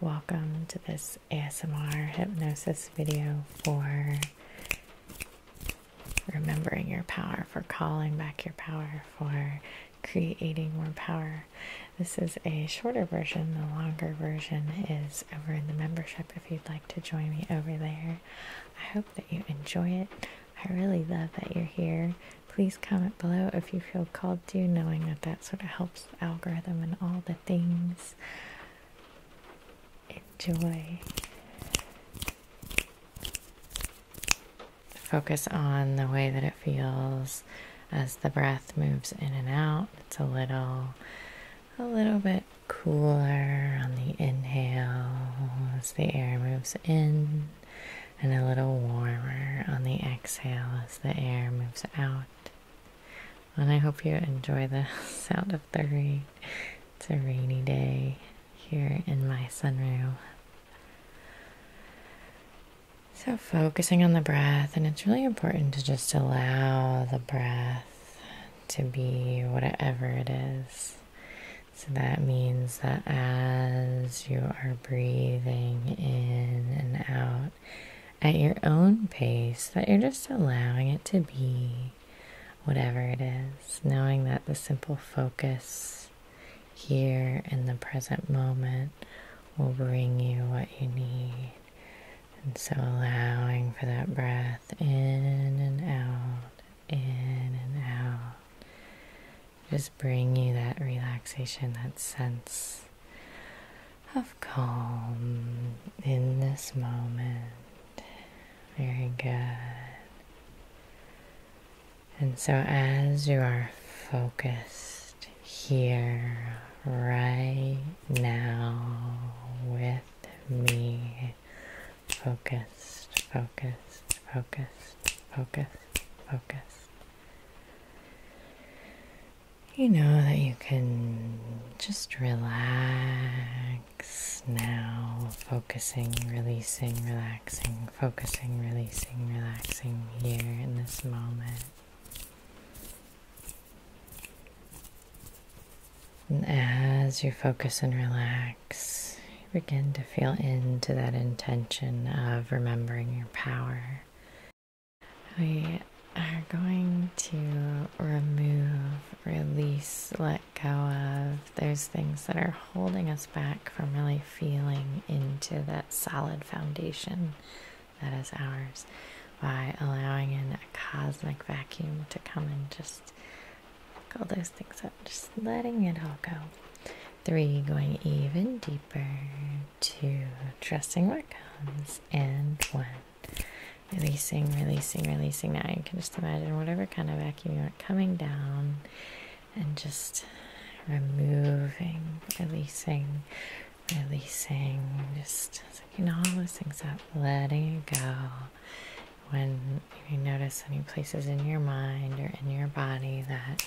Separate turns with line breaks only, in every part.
Welcome to this ASMR hypnosis video for remembering your power, for calling back your power, for creating more power. This is a shorter version, the longer version is over in the membership if you'd like to join me over there. I hope that you enjoy it. I really love that you're here. Please comment below if you feel called to, knowing that that sort of helps algorithm, and all the things. Enjoy. Focus on the way that it feels as the breath moves in and out. It's a little a little bit cooler on the inhale as the air moves in and a little warmer on the exhale as the air moves out. And I hope you enjoy the sound of the rain. It's a rainy day here in my sunroom. So, focusing on the breath, and it's really important to just allow the breath to be whatever it is. So, that means that as you are breathing in and out, at your own pace, that you're just allowing it to be whatever it is, knowing that the simple focus here in the present moment will bring you what you need. And so allowing for that breath in and out, in and out just bring you that relaxation, that sense of calm in this moment. Very good. And so, as you are focused here, right now, with me, focused, focused, focused, focused, focused. You know that you can just relax now, focusing, releasing, relaxing, focusing, releasing, relaxing here in this moment. And as you focus and relax, begin to feel into that intention of remembering your power. We are going to remove, release, let go of those things that are holding us back from really feeling into that solid foundation that is ours by allowing in a cosmic vacuum to come and just all those things up, just letting it all go three going even deeper, two trusting what comes, and one releasing, releasing, releasing. Now you can just imagine whatever kind of vacuum you want coming down and just removing, releasing, releasing, just sucking all those things up, letting it go. When you notice any places in your mind or in your body that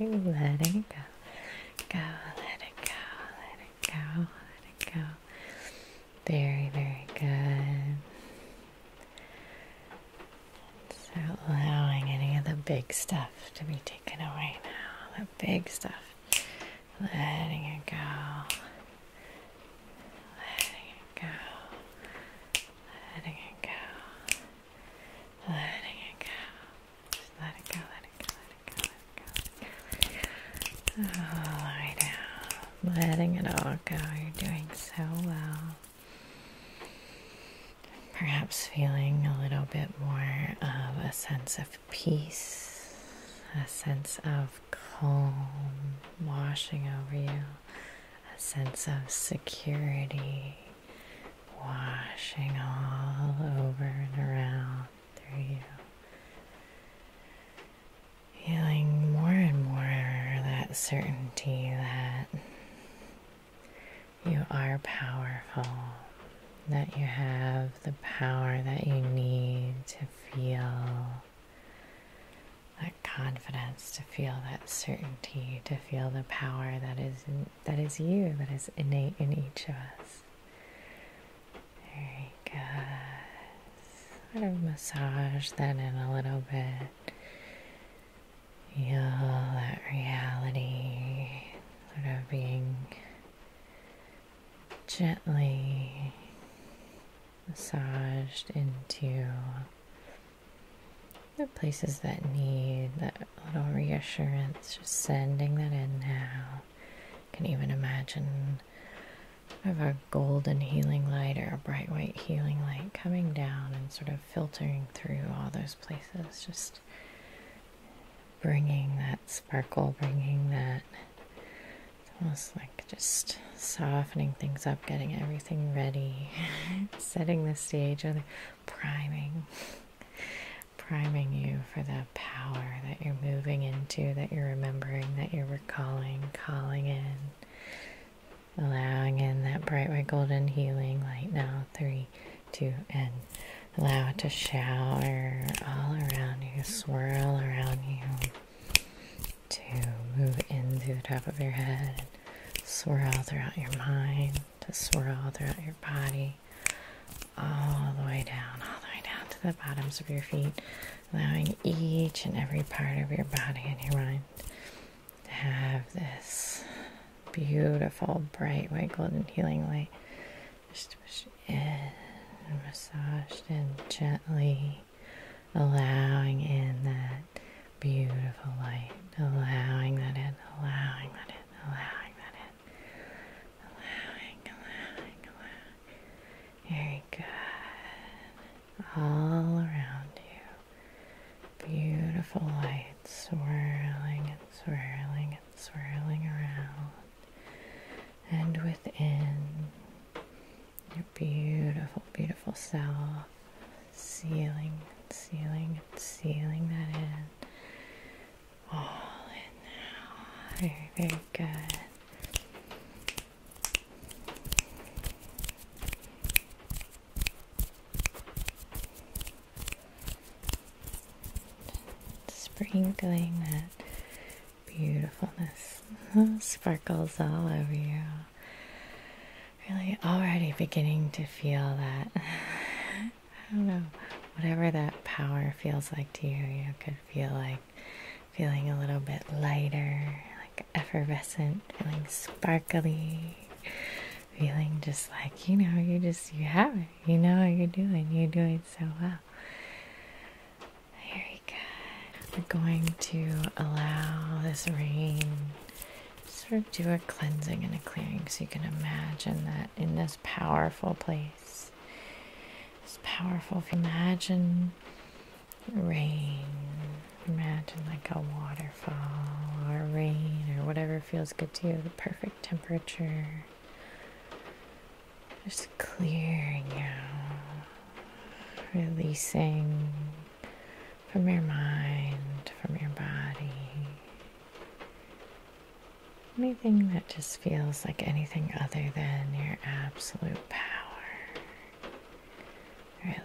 Letting it go. Go, let it go, let it go, let it go. Very, very good. So allowing any of the big stuff to be taken away now. The big stuff. Letting it go. Letting it go. Letting it go letting it go. Just let it go, let it go, let it go, let it go. All oh, right now, letting it all go. You're doing so well. Perhaps feeling a little bit more of a sense of peace, a sense of calm washing over you, a sense of security washing all over and around through you. Feeling more and more that certainty that you are powerful, that you have the power that you need to feel that confidence, to feel that certainty, feel the power that is that is you, that is innate in each of us. Very good. Sort of massage that in a little bit. Feel that reality sort of being gently massaged into the places that need that little reassurance, just sending that in now. I can even imagine of a golden healing light or a bright white healing light coming down and sort of filtering through all those places, just bringing that sparkle, bringing that. It's almost like just softening things up, getting everything everything ready, setting the stage, or priming, priming you for the power that you're moving into, that you're remembering, that you're recalling, calling in, allowing in that bright red golden healing light now. Three, two, and allow it to shower all around you, swirl around you to move into the top of your head swirl throughout your mind, to swirl throughout your body, all the way down, all the way down to the bottoms of your feet, allowing each and every part of your body and your mind to have this beautiful, bright white golden healing light. Just push in, massaged in gently, allowing in that beautiful light, allowing that in, allowing that in, allowing that in, allowing, allowing, allowing. Very good. All around you, beautiful light swirling and swirling and swirling around, and within your beautiful, beautiful self, sealing, sealing, sealing that in. All in now. Very, very good. Sprinkling that beautifulness sparkles all over you really already beginning to feel that. I don't know, whatever that power feels like to you, you could feel like feeling a little bit lighter, like effervescent, feeling sparkly, feeling just like, you know, you just, you have it, you know what you're doing, you're doing so well. Very good. We're going to allow this rain Sort of do a cleansing and a clearing so you can imagine that in this powerful place. this powerful. you imagine rain, imagine like a waterfall or rain or whatever feels good to you, the perfect temperature. Just clearing out, releasing from your mind, from your body. Anything that just feels like anything other than your absolute power.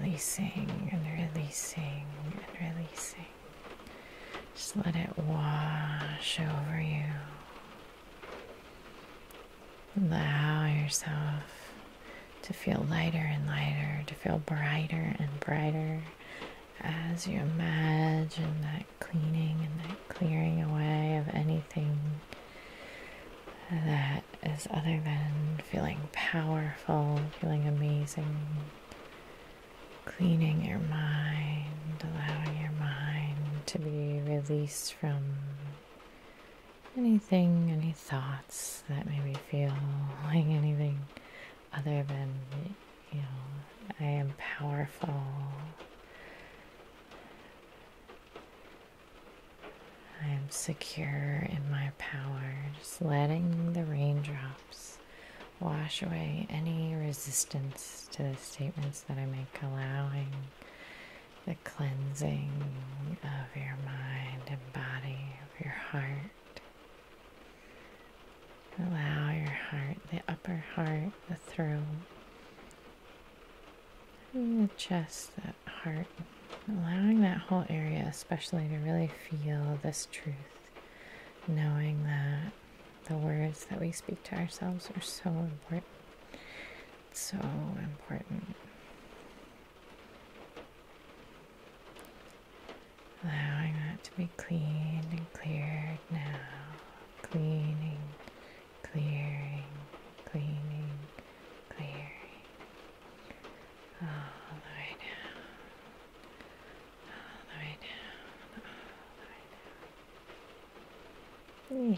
Releasing and releasing and releasing. Just let it wash over you. Allow yourself to feel lighter and lighter, to feel brighter and brighter as you imagine that cleaning and that clearing away of anything that is other than feeling powerful, feeling amazing, cleaning your mind, allowing your mind to be released from anything, any thoughts that made me feeling anything other than, you know, I am powerful. I am secure in my power, just letting the raindrops wash away any resistance to the statements that I make, allowing the cleansing of your mind and body, of your heart. Allow your heart, the upper heart, the throat, the chest, that heart, allowing that whole area, especially to really feel this truth, knowing that the words that we speak to ourselves are so important. So important. Allowing that to be cleaned and cleared now. Cleaning, clearing, cleaning, clearing. All the way down. All the way down. All the way down. You're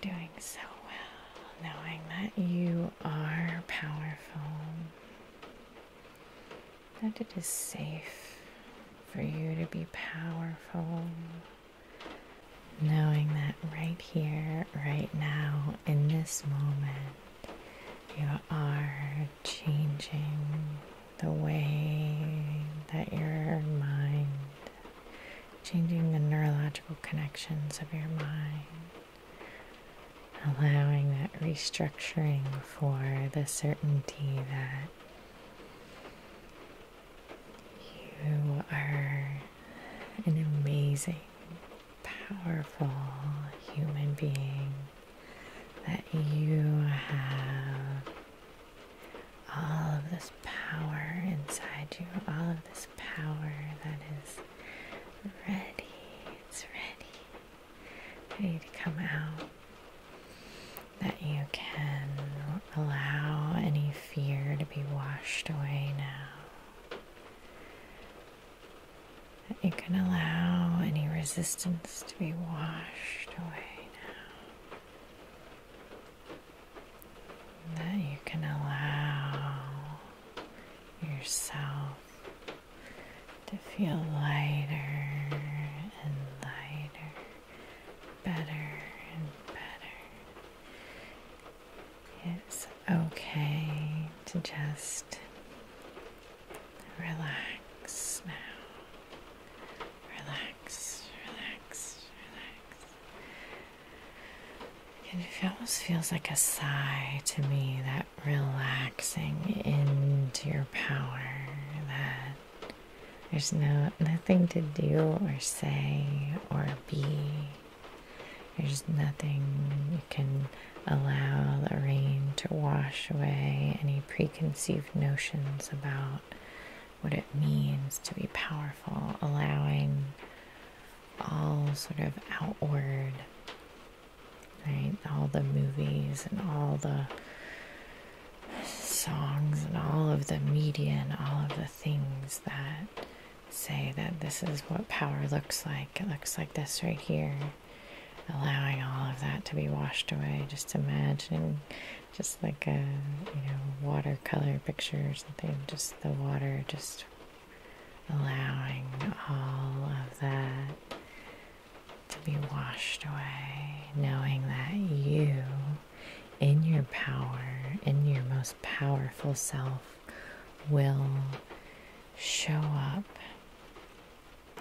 doing so well knowing that you are powerful, that it is safe for you to be powerful, knowing that right here, right now, in this moment, you are changing the way that your mind changing the neurological connections of your mind, allowing that restructuring for the certainty that you are an amazing, powerful human being, that you have all of this power inside you, all of this power that is ready, it's ready, ready to come out. That you can allow any fear to be washed away now. That you can allow any resistance to be washed away now. And you can allow yourself to feel lighter and lighter, better and better. It's okay to just relax now. Relax, relax, relax. And it almost feels like a sigh to me that relaxing into your power that there's no nothing to do or say or be. There's nothing you can allow the rain to wash away any preconceived notions about what it means to be powerful, allowing all sort of outward, right? All the movies and all the songs and all of the media and all of the things that say that this is what power looks like. It looks like this right here. Allowing all of that to be washed away, just imagining just like a you know watercolor picture or something just the water just allowing all of that to be washed away knowing that you in your power in your most powerful self will show up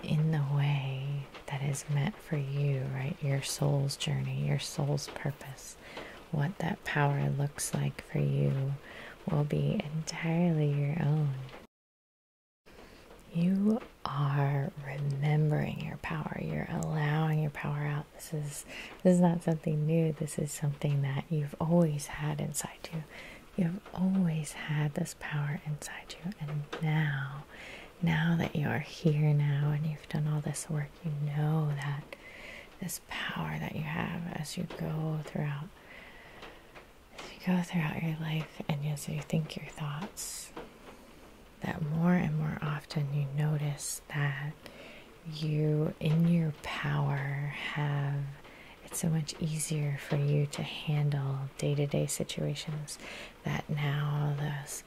in the way that is meant for you, right? Your soul's journey, your soul's purpose, what that power looks like for you will be entirely your own. You are remembering your power. You're allowing your power out. This is this is not something new. This is something that you've always had inside you. You've always had this power inside you, and now now. that you are here now and you've done all this work, you know that this power that you have as you go throughout as you go throughout your life and as you think your thoughts that more and more often you notice that you in your power have it's so much easier for you to handle day to -day situations that now, this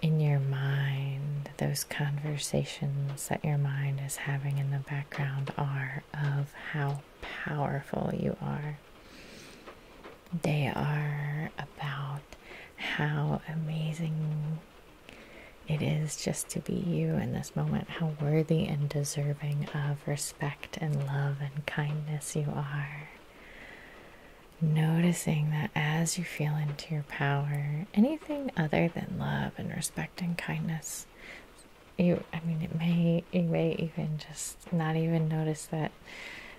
in your mind, those conversations that your mind is having in the background are of how powerful you are. They are about how amazing it is just to be you in this moment, how worthy and deserving of respect and love and kindness you are. Noticing that as you feel into your power, anything other than love and respect and kindness, you I mean it may you may even just not even notice that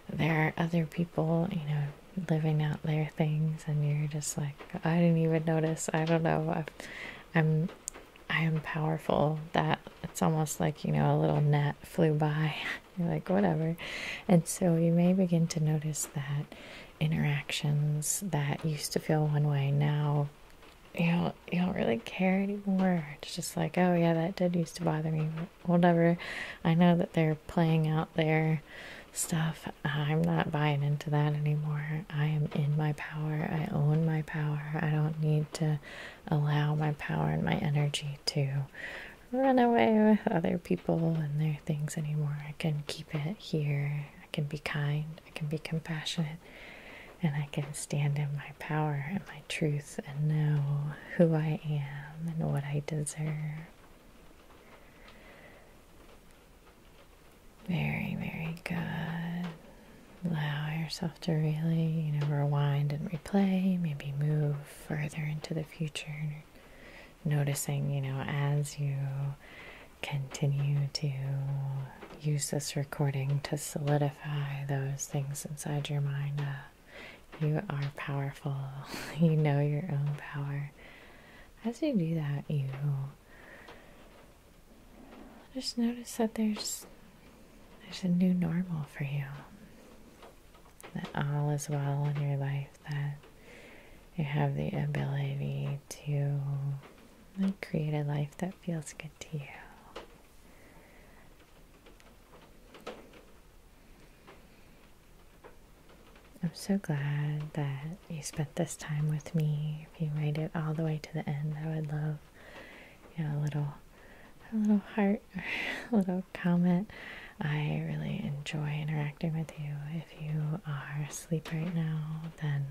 there are other people, you know, living out their things and you're just like, I didn't even notice. I don't know. i am I am powerful. That it's almost like, you know, a little net flew by. You're like, whatever. And so you may begin to notice that interactions that used to feel one way now you don't you don't really care anymore. It's just like, oh yeah, that did used to bother me. Whatever. I know that they're playing out their stuff. I'm not buying into that anymore. I am in my power. I own my power. I don't need to allow my power and my energy to run away with other people and their things anymore. I can keep it here. I can be kind. I can be compassionate. And I can stand in my power and my truth and know who I am and what I deserve. Very, very good. Allow yourself to really, you know, rewind and replay, maybe move further into the future, noticing, you know, as you continue to use this recording to solidify those things inside your mind. Uh, you are powerful, you know your own power. As you do that, you just notice that there's there's a new normal for you. That all is well in your life, that you have the ability to create a life that feels good to you. I'm so glad that you spent this time with me. If you made it all the way to the end, I would love you a little a little heart a little comment. I really enjoy interacting with you. If you are asleep right now, then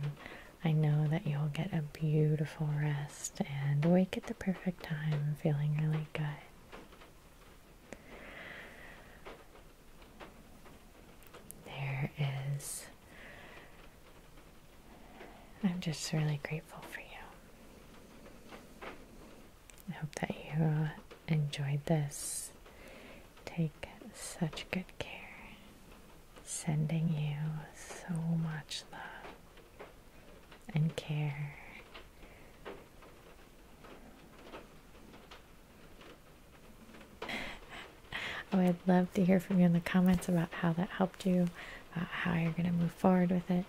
I know that you'll get a beautiful rest and wake at the perfect time, feeling really good. There is. I'm just really grateful for you. I hope that you uh, enjoyed this. Take such good care. Sending you so much love and care. Oh, I would love to hear from you in the comments about how that helped you, uh, how you're going to move forward with it.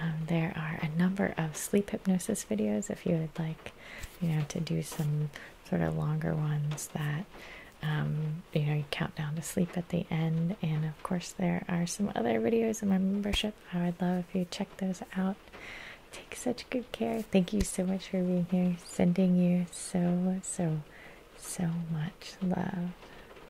Um, there are a number of sleep hypnosis videos if you would like, you know, to do some sort of longer ones that, um, you know, you count down to sleep at the end. And of course, there are some other videos in my membership. I would love if you check those out. Take such good care. Thank you so much for being here. Sending you so, so, so much love.